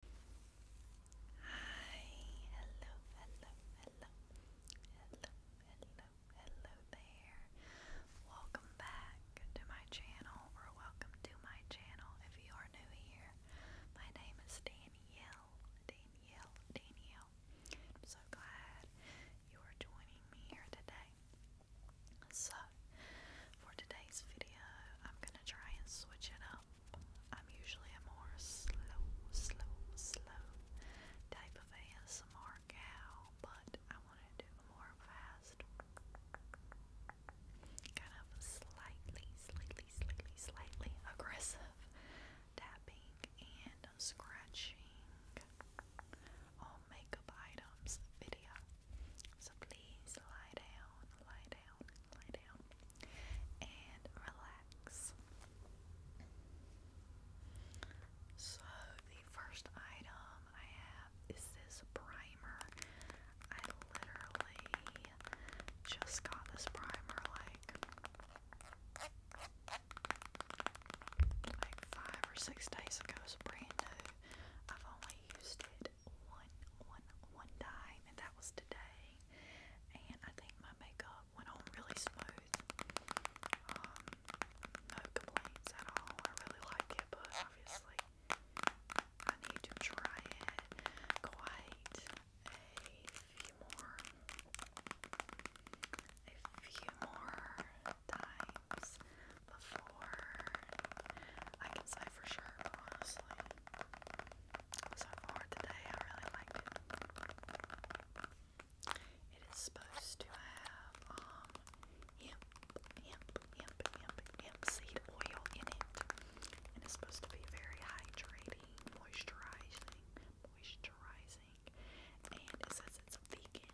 Hi, hello, hello, hello, hello, hello, hello there. Welcome back to my channel, or welcome to my channel if you are new here. My name is Danielle, Danielle, Danielle. I'm so glad you are joining me here today. So, for today's video, I'm gonna try and switch it up I'm usually a more slow, slow, slow type of ASMR gal, but I want to do more fast, kind of slightly, slightly, slightly, slightly aggressive tapping and scratching on makeup items video. So please lie down, lie down, lie down and relax. So, the first item I have is this primer. I literally just got this primer like five or six days ago. It's brand new. I've only used it one, one, one time, and that was today. And I think my makeup went on really smooth. Um, no complaints at all. I really like it, but obviously, I need to try it quite a few more, a few more times before I can say for sure, honestly so far today. I really like it. It is supposed to have hemp, hemp, hemp, hemp, hemp seed oil in it, and it's supposed to be very hydrating, moisturizing, moisturizing, and it says it's vegan.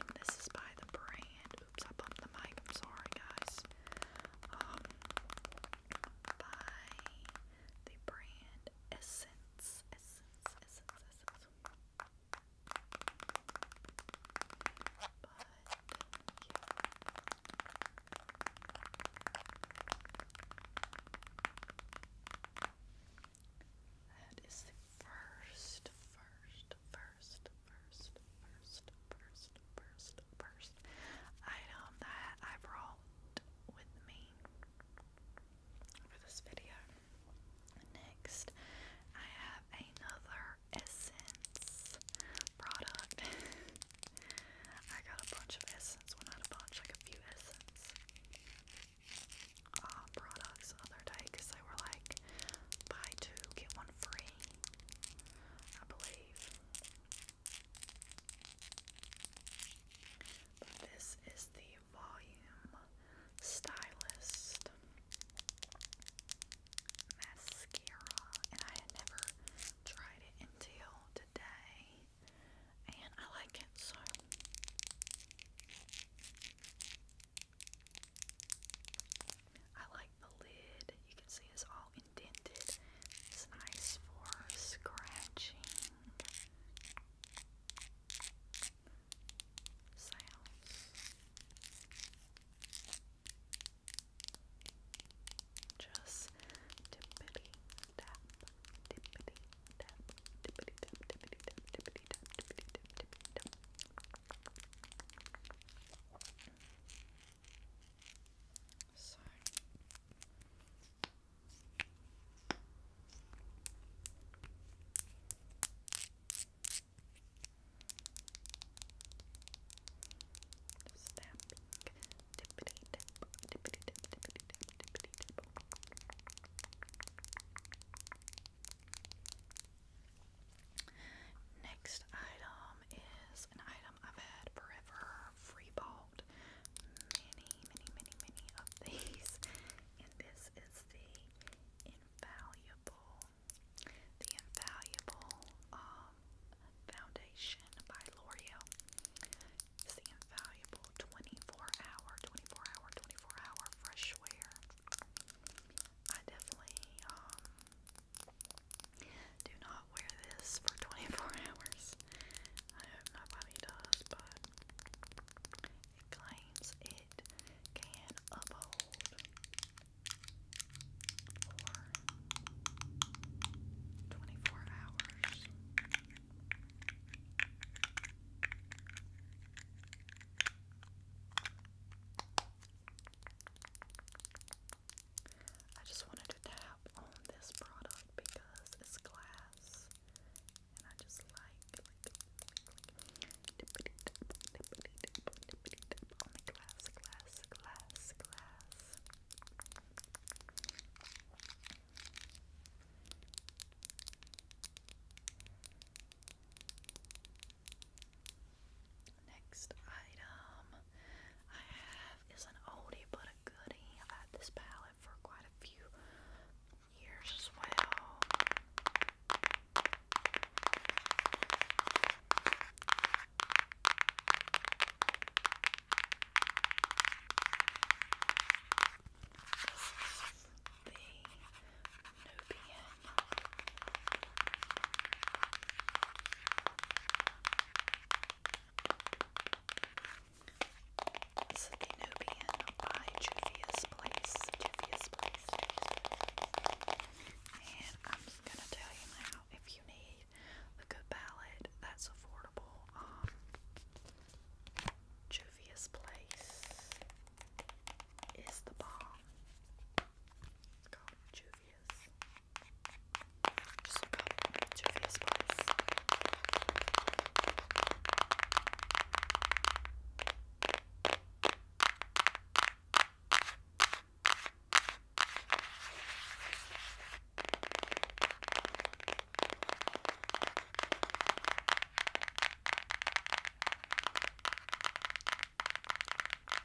And this is by the brand. Oops, I bumped the mic. I'm sorry, guys um, by the brand Essence. Essence, Essence, Essence. That is the first, first, first first, first, first, first, first item that I brought with me for this video. Next, I have another Essence product. I got a bunch of Essence, well not a bunch, like a few Essence uh, products other day because they were like buy two, get one free, I believe this is the Volume Stylist Mascara, and I had never tried it until today, and I like it so. I like the lid. You can see it's all indented. It's nice for scratching sounds. Just dippity tap, dippity tap, dippity tap, dippity tap, dippity tap, dippity tap, dippity tap. So snapping, dippity dip, dippity dip, dippity dip, dippity dip. Next item item is an item I've had forever, free bought many, many, many, many of these, and this is the invaluable, the invaluable um, foundation by L'Oreal. It's the invaluable 24 hour, 24 hour, 24 hour fresh wear. I definitely um, do not wear this for 24 hours. I hope nobody does, but it claims it can uphold for 24 hours. I just wanted to tap on this product because it's glass and I just like, like, on the glass, glass, glass, glass next item I have is an oldie but a goodie. I've had this palette for quite a few years as well. the Nubian. This is by Juvia's Place. Juvia's Place. And I'm gonna tell you now if you need a good palette that's affordable, um, Place is the bomb. It's called Yes. Just rub your face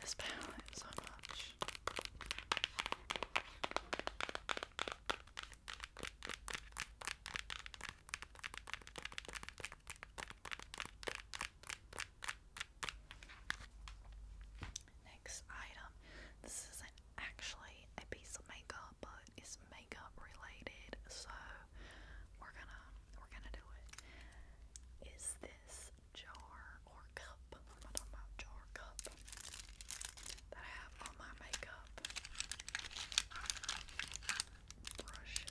this Next item. This isn't actually a piece of makeup, but it's makeup related, so we're gonna we're gonna do it. Is this jar or cup? I'm not talking about jar cup that I have all my makeup brushes in.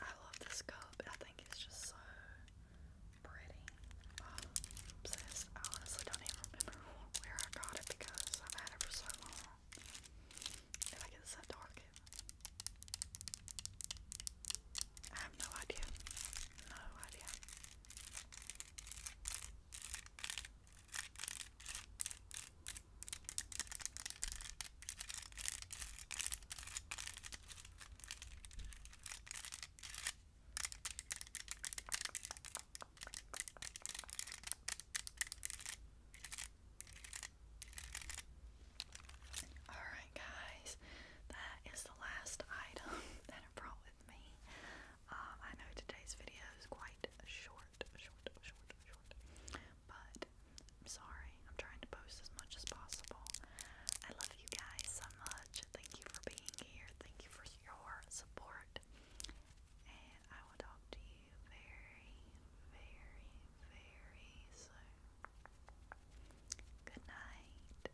I love this cup. I think it's just so pretty. obsessed. I honestly don't even remember where I got it because I've had it for so long. If I get this at I have no idea. No idea. Alright, guys, that is the last item that I with me. Um, I know today's video is quite short, short, short, short, but I'm sorry. I'm trying to post as much as possible. I love you guys so much. Thank you for being here. Thank you for your support. And I will talk to you very, very, very soon. Good night.